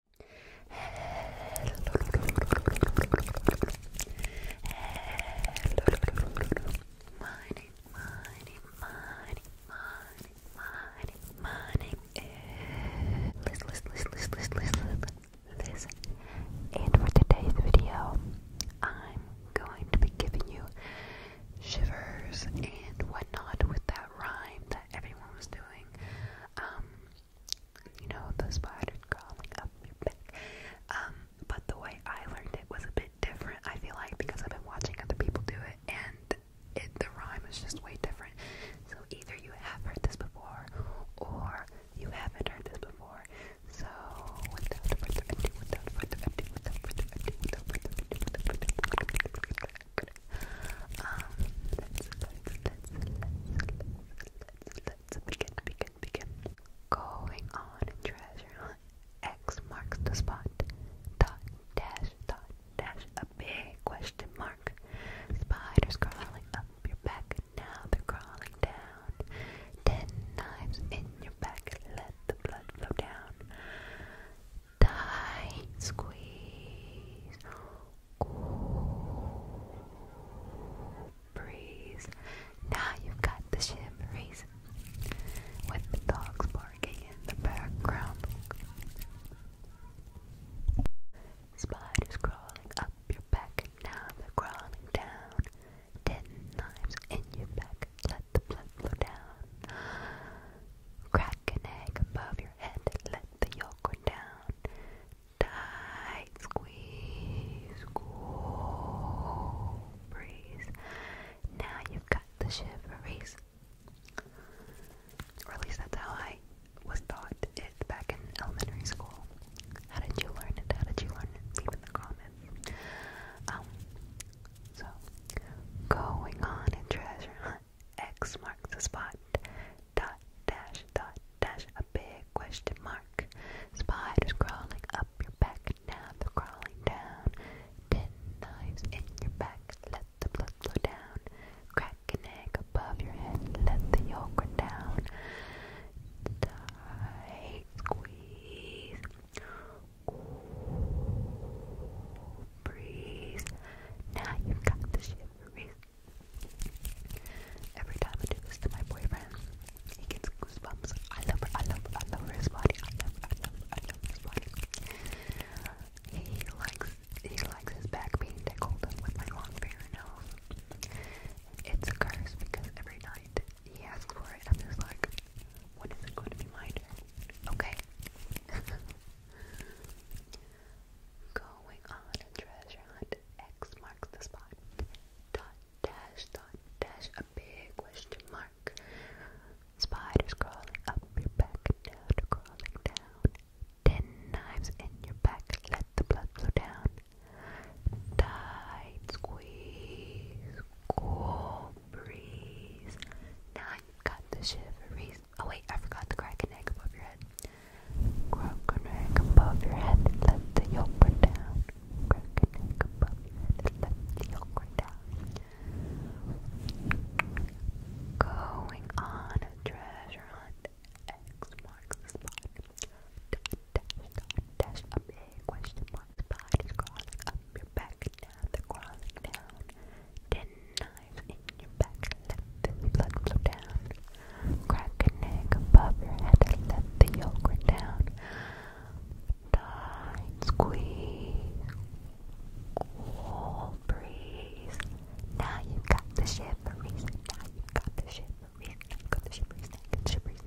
Hello, my name, my name, my name, my name, Listen, listen, listen, listen, listen, listen. And for today's video, I'm going to be giving you shivers and whatnot with that rhyme that everyone was doing. Um, you know, the spider crawling up your back. Um, but the way I learned it was a bit different, I feel like, because I've been watching other people do it, and it, the rhyme is just way different. So either you have heard this before, or you haven't heard this before. So without further ado, without further ado, without further ado, without further ado, without further ado, without further ado, without further ado, um, let's, let's, let's, let's, let's, let's begin, begin, begin. Going on a treasure hunt. X marks the spot. Dot, dash, dot, dash. A big question mark. Spiders crawling up your back. Now they're crawling down. Ten knives in your back. Let the blood flow down tight squeeze. Cool Now you've got the shimmeries with the dogs barking in the background. Spiders crawling up your back, now they're crawling down. Ten knives in your back, let the blood flow down. Crack an egg above your head, let the yolk go down. Tight squeeze, breeze. Now you've got the shiveries. Or at least that's how I was taught it back in elementary school. How did you learn it? How did you learn it? Leave in the comments. Um, so, going on a treasure hunt. X marks the spot. Dot dash dot dash a big question mark. Spiders crawling up your back, now they're crawling down. Ten knives in your back, let the blood flow down. Crack an egg above your head, let the yolk run down. Tight squeeze breeze. Now you've got the shiveries. Every time I do this to my boyfriend, he gets goosebumps. I love I love I love his body. I love, I love, I love his body. He likes, he likes his back being tickled with my long finger nose. It's a curse because every night he asks for it. and I'm just like, when is it going to be mine? Okay. Going on a treasure hunt. X marks the spot. Dot dash dot dash a big question mark. Spiders crawling up your back down, crawling down. Ten knives in your back, let the blood flow down. Tight squeeze, cool breeze. Now got the shiveries. Oh wait, I forgot to crack an egg above your head. Crack an egg above your head, let the yolk run down. Crack an egg above your head, let the yolk run down. Going on a treasure hunt, X marks spot. Dash, dash, dash, a question mark. Spot is up your back down the crawling down. Ten knives in your back, let the blood flow down. Crack an egg above your head, let the yolk run down. Tight squeeze, cool breeze. Now you've got the shiveries, now you've got the shiveries, now you've got the shiveries,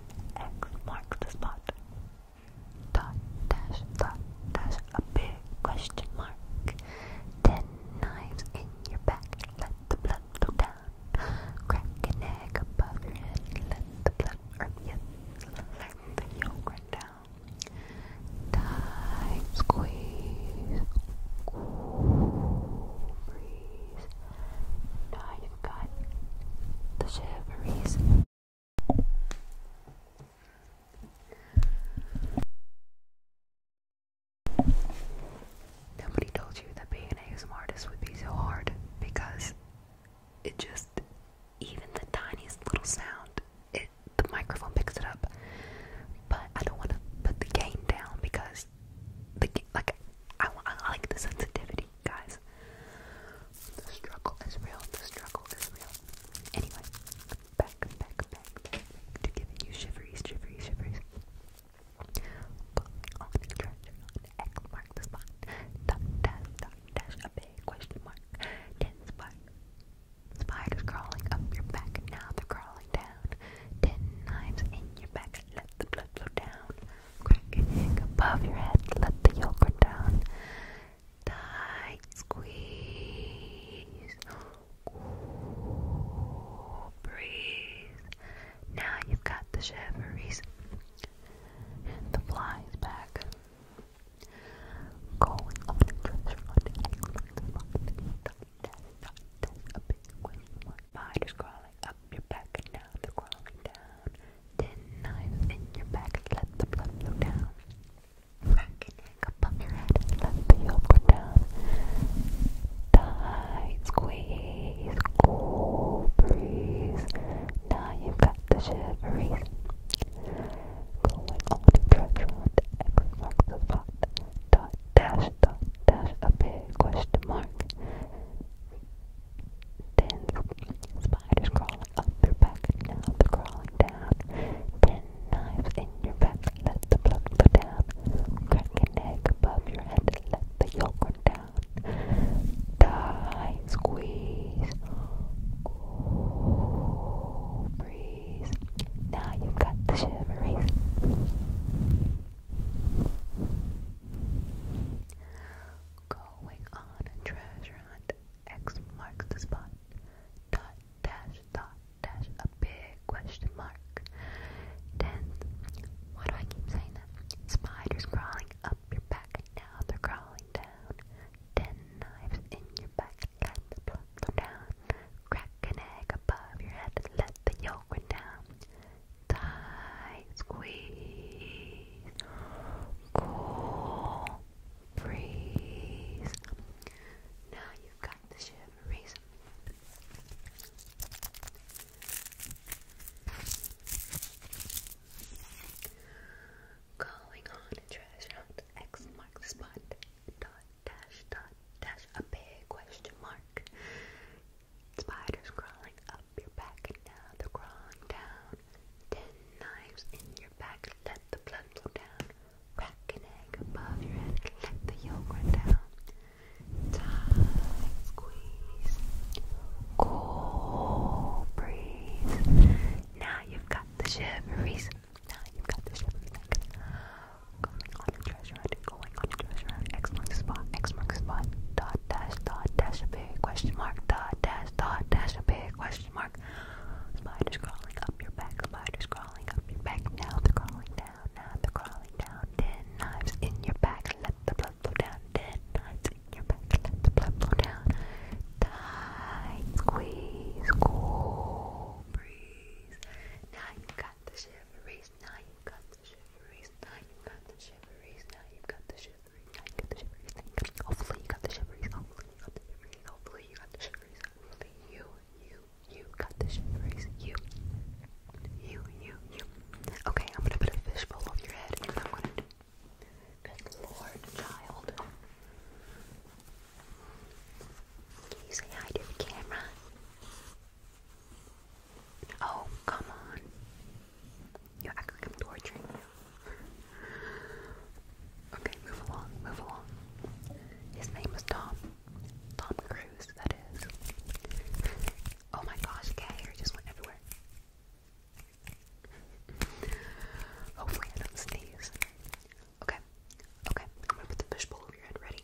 X mark the spot. Dot dash dot dash a big question mark. Ten knives in your back, let the blood flow down. Crack an egg above your head, let the blood run down. Time squeeze, cool now you've got the shiveries. Nobody told you that being an ASMR would be so hard because it just, even the tiniest little sound, it the microphone picks it up. But I don't want to put the game down because this like I, I like the sensitivity, guys. The struggle is real. The struggle is real. Anyway, back, back, back, back to giving you shiveries, shiveries, shiveries. Falling the treasure on mark the spot. Dot, dash, dash, a big question mark. Ten spider. Spiders crawling up your back, now they're crawling down. Ten knives in your back, let the blood flow down. Crack an egg above your head. Let the yolk down. Tight squeeze. breathe. Now you've got the shiveries the flies back. Going on a treasure hunt. Spiders crawling up your back and now they're crawling down. in your back, let the blood flow down. Rack and neck your head, let the yolk go down. Tight squeeze, cool breeze. Now you've got the shiveries. Going on the restaurant, X marks the spot. Dot dash, dot dash, a big question mark. Ten spiders crawling up your back, now they're crawling down. Ten knives in your back, let the blood go down. Crack an egg above your head, let the yolk run down. Die, squeeze, breeze. Now you've got the shiveries. Going on a treasure hunt. X marks the spot. Dot dash dot dash a big question mark. Then why do I keep saying that? Spiders crawling up your back now they're crawling down. Ten knives in your back and the plump them down. Crack an egg above your head let the yolk run down. Tight squeeze. Cool. Freeze. Now you've got the shiveries. Going on a treasure hunt. X marks the spot dash dot dash a big question mark. Spiders crawling up your back and now they're crawling down. Ten knives in your back, let the blood flow down. Crack an egg above your head, let the yolk run down. Tight squeeze, cool breeze. Now you've got the shiveries. Now you've got the shiveries going on a treasure hunt, going on a treasure hunt, X marks the spot, X marks the spot, dot dash dot dash a big question mark, dot dash dot dash a big question mark. Spiders crawling up your back, spiders crawling up your back, now they're crawling down, now they're crawling down, ten knives in your back, let the blood flow down, ten knives in your back, let the blood flow down. Tight squeeze, cool breeze. Now you got the shiveries shiveries, now you've got the shiveries, now you've got the shiveries, now you've got the shiveries, now you've got the shiveries, now you've got the shiveries. Hopefully you got the shiveries, hopefully you got the shiveries, hopefully you got the shiveries, hopefully you, you, you got the shiveries, you, you, you, you. Okay, I'm gonna put a fishbowl over your head and I'm gonna do Good lord, child. Can you say hi to the camera? Oh, come on. You act like I'm torturing you. okay, move along, move along. His name was Tom. Tom Cruise, that is. Oh my gosh, cat hair just went everywhere. Hopefully I don't sneeze. Okay, okay, I'm gonna put the fishbowl over your head. Ready?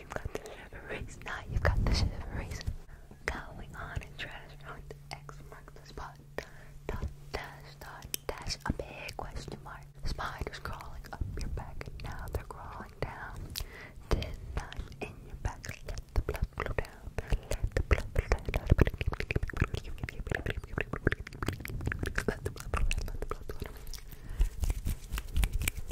you've got the shiveries. Now you've got the shiveries. Going on and trash on the X marks the spot. a big question mark. Spiders crawling up your back now they're crawling down. Did not in your back.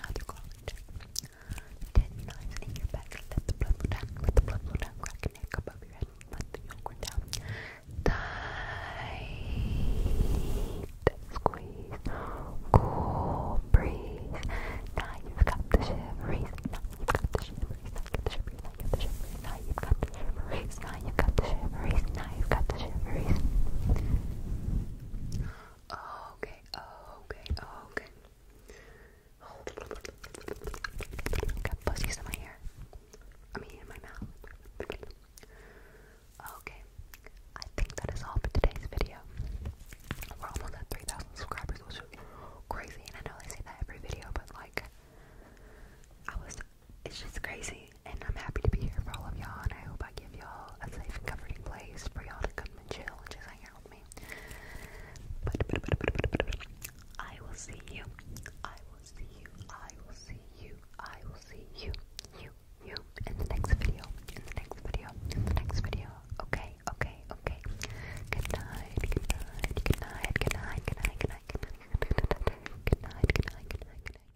How do you call it? Ten your back, let the blood flow down, let the blood flow down, crack your neck above your head, let the yolk down. Tight squeeze, cool breeze. Now you've got the shiveries. Now you've got the shiveries. Now you've got the shiveries. Now you've got the shiveries. Now you've got the shiveries. Now you've got the shiveries. Now Okay, okay, okay. Oh. Got pussies in my hair. I mean, in my mouth. Okay, I think that is all for today's video. We're almost at 3,000 subscribers, which is crazy. And I know they say that every video, but like, I was, it's just crazy and I'm happy to be here for all of y'all, and I hope I give y'all a safe and comforting place for y'all to come and chill and just hang out with me. But, but, but, but, but, but, but I will see you. I will see you. I will see you. I will see you. You. You. In the next video. In the next video. In the next video. Okay. Okay. Okay. Good night. Good night. Good night. Good night. Good night. Good night. Good night. Good night. Good night. Good night. Good night. Good night.